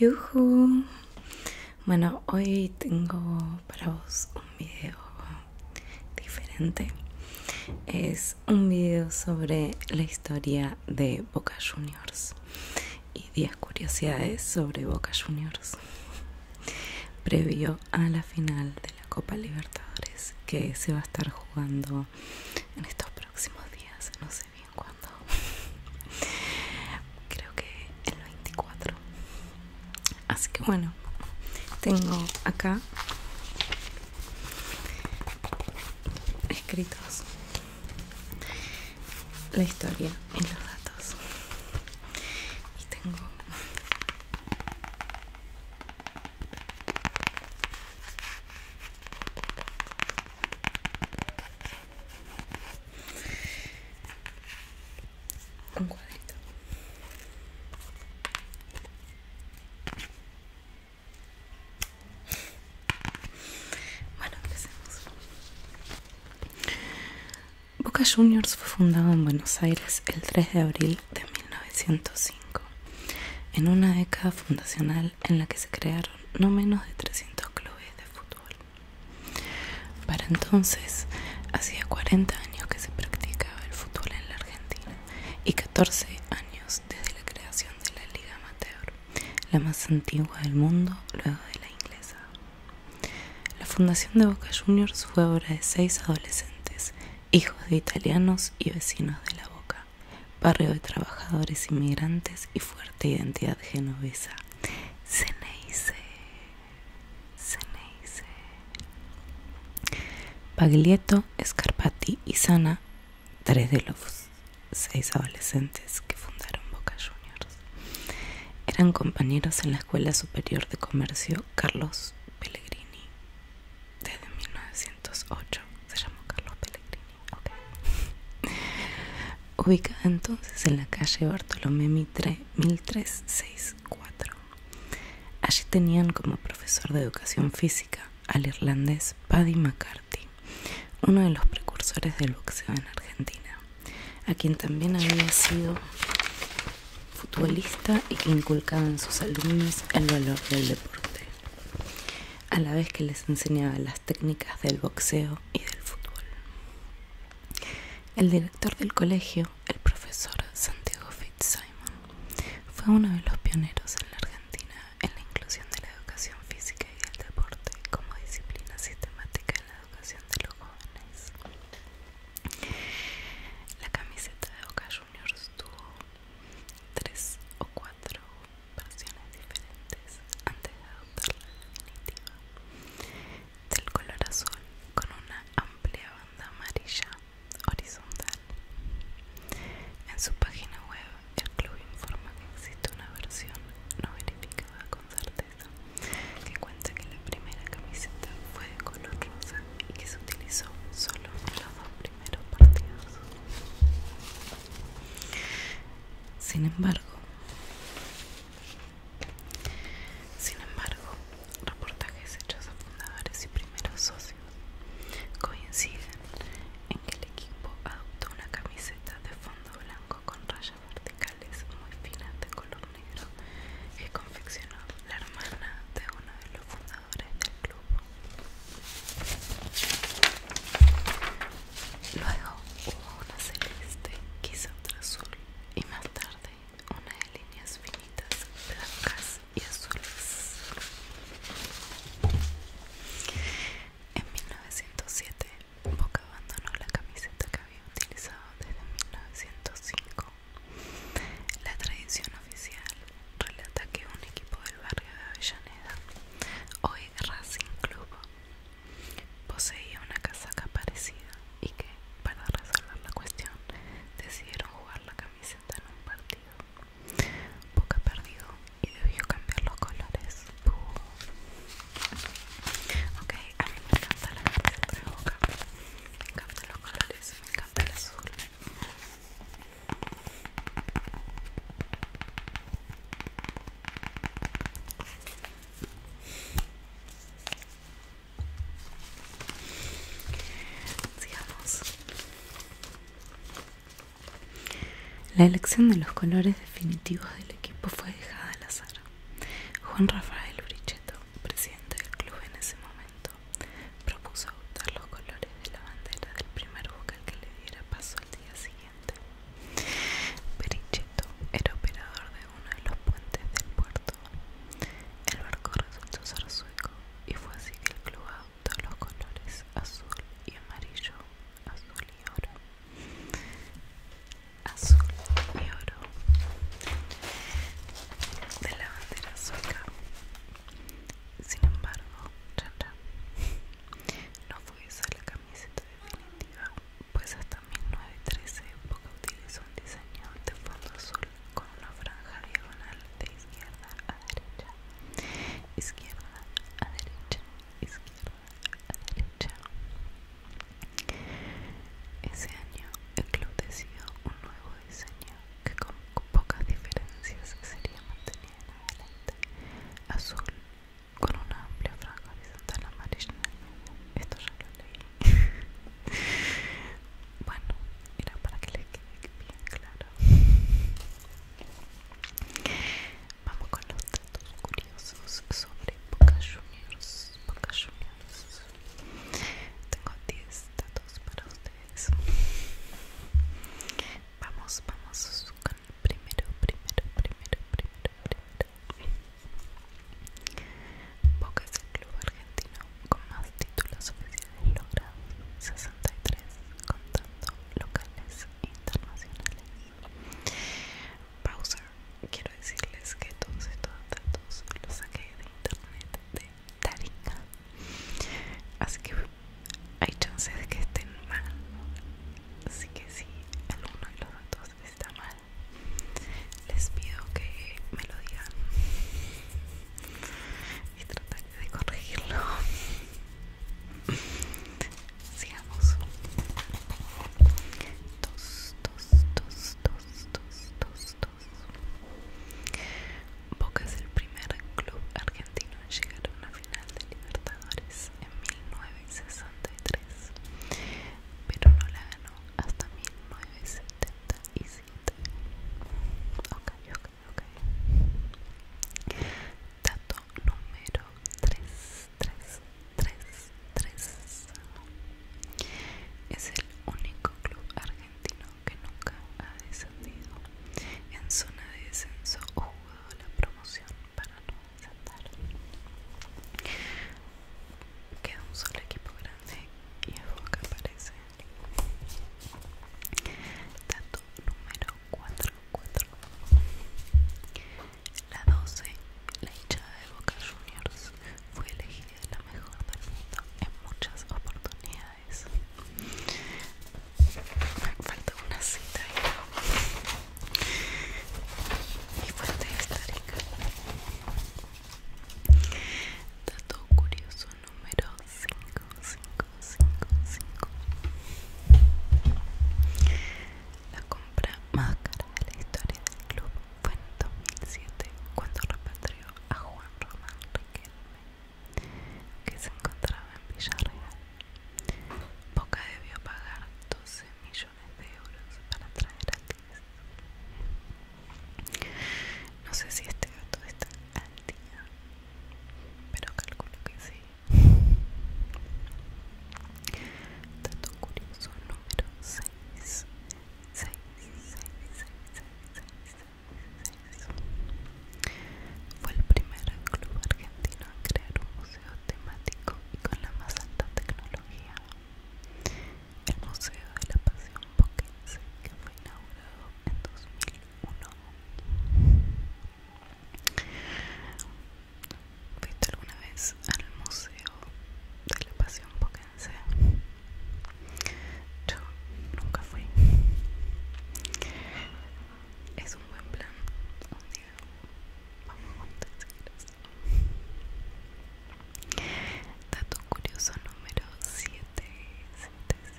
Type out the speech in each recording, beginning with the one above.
Yuhu. Bueno, hoy tengo para vos un video diferente. Es un video sobre la historia de Boca Juniors y 10 curiosidades sobre Boca Juniors previo a la final de la Copa Libertadores que se va a estar jugando en estos próximos días, no sé bien cuándo. Creo que el 24. Así que bueno, tengo acá escritos la historia y los datos. Y tengo un cuadrito. Bueno, empecemos. Boca Juniors fue fundado en Buenos Aires el 3 de abril de 1905, en una década fundacional en la que se crearon no menos de 300 clubes de fútbol. Para entonces, hacía 40 años que se practicaba el fútbol en la Argentina y 14 años desde la creación de la Liga Amateur, la más antigua del mundo luego de la inglesa. La fundación de Boca Juniors fue obra de seis adolescentes, hijos de italianos y vecinos de la Boca, barrio de trabajadores inmigrantes y fuerte identidad genovesa. Ceneice, Ceneice. Paglietto, Scarpati y Sana, tres de los seis adolescentes que fundaron Boca Juniors. Eran compañeros en la Escuela Superior de Comercio Carlos Pellegrini desde 1908 se llamó Carlos Pellegrini ubicada entonces en la calle Bartolomé Mitre 1364 allí tenían como profesor de educación física al irlandés Paddy McCarthy uno de los precursores del boxeo en Argentina a quien también había sido futbolista y que inculcaba en sus alumnos el valor del deporte, a la vez que les enseñaba las técnicas del boxeo y del fútbol. El director del colegio, el profesor Santiago Fitzsimon, fue uno de los pioneros en la Argentina en la inclusión de la educación física y del deporte como disciplina sistemática en la educación de los jóvenes. La camiseta de Boca Juniors tuvo tres o cuatro versiones diferentes antes de adoptar la definitiva del color azul con una amplia banda amarilla horizontal. En su página web el club informa que existe una versión no verificada con certeza que cuenta que la primera camiseta fue de color rosa y que se utilizó solo en los dos primeros partidos. Sin embargo, sin embargo, reportajes hechos a fundadores y primeros socios coinciden en que el equipo adoptó una camiseta de fondo blanco con rayas verticales muy finas de color negro que confeccionó la hermana de uno de los fundadores del club. Luego hubo una celeste, quizá otra azul, y más tarde una de líneas finitas, blancas y azules. En 1907 Boca abandonó la camiseta que había utilizado desde 1905. La tradición oficial relata que un equipo del barrio de Avellaneda, hoy Racing Club, poseía una casaca parecida y que, para resolver la cuestión, decidieron jugar la camiseta en un partido. Boca perdió y debió cambiar los colores. Uh. Okay. Ok, a me encanta la temperatura de boca me encantan los colores, me encanta el azul Sigamos. La elección de los colores definitivos del equipo fue dejada al azar. Juan Rafael Brichetto, presidente del club en ese momento, propuso adoptar los colores de la bandera del primer buque que le diera paso al día siguiente. Brichetto era operador de uno de los puentes del puerto. El barco resultó ser sueco y fue así que el club adoptó los colores azul y amarillo azul y oro azul y oro de la bandera sueca sin embargo no no fue esa la camiseta definitiva pues hasta 1913 porque utilizo un diseño de fondo azul con una franja diagonal de izquierda a derecha izquierda a derecha izquierda derecha. Ese año el club decidió un nuevo diseño que con pocas diferencias sería mantenido en adelante. Azul con una amplia franja horizontal amarilla en el medio. Esto ya lo leí. bueno, era para que le quede bien claro. Vamos con los datos curiosos sobre Boca Juniors. Tengo 10 datos para ustedes. Vamos, vamos con el primero, primero, primero, primero, primero. Boca es el club argentino con más títulos oficiales Logra 63 contando locales e internacionales. Pausa. Quiero decirles que todos estos datos los saqué de internet de Taringa. Así que hay chances de que estén mal. Así que si alguno de los datos está mal, les pido que me lo digan y trataré de corregirlo. Sigamos. Tos, tos, tos, tos, tos, tos, tos. Boca es el primer club argentino en llegar a una final de Libertadores en 1963, pero no la ganó hasta 1977. Ok, ok ok. Dato número 3, 3. Es el único club argentino que nunca ha descendido. En zona de descenso o jugado la promoción para no desatar. Queda un solo equipo grande y es que aparece Dato número 4, 4 La 12, la hinchada de Boca Juniors fue elegida la mejor del mundo en muchas oportunidades Me faltó una cita y, fuerte fuente histórica Todo curioso número 5555 La compra más cara de la historia del club fue en 2007 cuando repatrió a Juan Román Riquelme que se encontraba en Villarreal Boca debió pagar 12 millones de euros para traer a no sé si este gato está al día pero calculo que sí dato curioso número 6 6 6 6 6 6 6 fue el primer club argentino en crear un museo temático y con la más alta tecnología el Museo de la Pasión Boquense que fue inaugurado en 2001 uno. ¿Fuiste alguna vez al Museo de la Pasión Poquense? Yo nunca fui. Es un buen plan. Un día vamos a contestar. quieres. Dato curioso número 7. 7,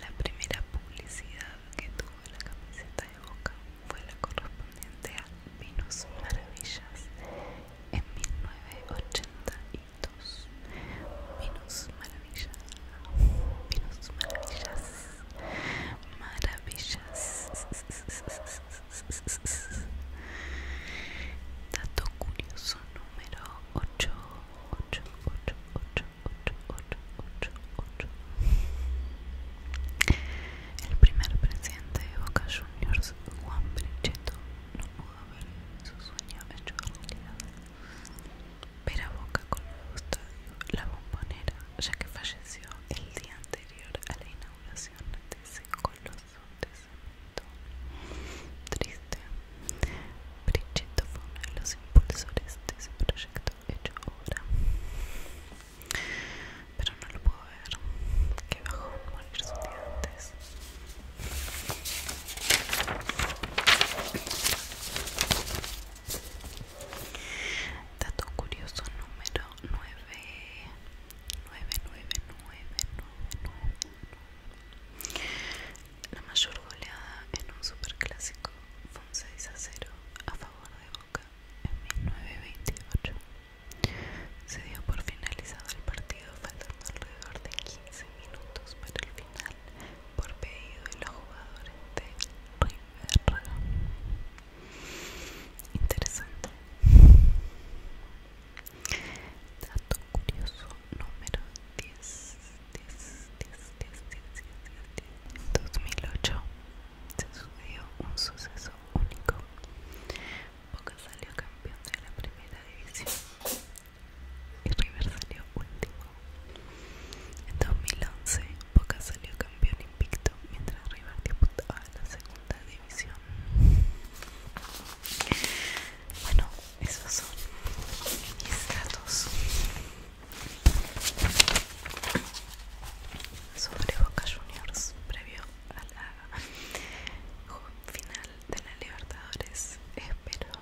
la primera publicidad que tuvo la camiseta de Boca fue la correspondiente a Venus Maravillas en 1982. Venus Maravillas, Venus Maravillas, Maravillas. Dato curioso número 8, 8, 8, 8, 8, 8, 8, 8. El primer presidente de Boca Juniors, Juan Brichetto, no pudo ver su sueño hecho realidad. Ver a Boca con el estadio La Bombonera, ya que falleció el día anterior a la inauguración de ese coloso Triste. Brichetto fue uno de los impulsores de ese proyecto hecho ahora. Pero no lo puedo ver. Que bajó morir sus dientes. Dato curioso número 9. 9999 La mayor goleada en un superclásico fue un 6 a 0 a favor de Boca en 1928. Se dio por finalizado el partido faltando alrededor de 15 minutos para el final por pedido de los jugadores de River. Interesante. Dato curioso número 10. 2008 se subió un suceso único. Boca salió campeón de la primera división y River salió último. En 2011 Boca salió campeón Víctor, mientras River disputaba la segunda división. Bueno, esos son mis datos sobre Boca Juniors previo a la final de la Libertadores. Espero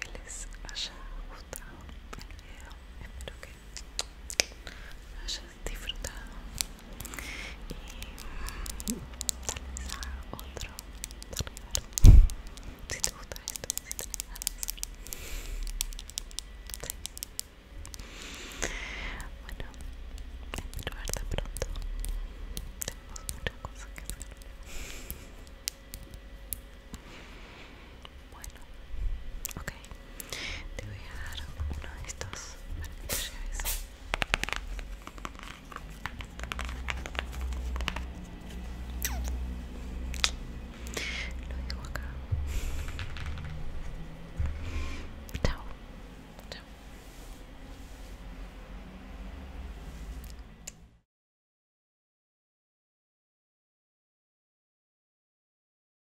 que les haya gustado el video. Espero que que hayas disfrutado y tal vez haga otro arriba si te gusta esto si tenés ganas sí. bueno espero verte pronto tenemos muchas cosas que hacer bueno ok te voy a dar uno de estos para que te lleves lo digo acá chao chao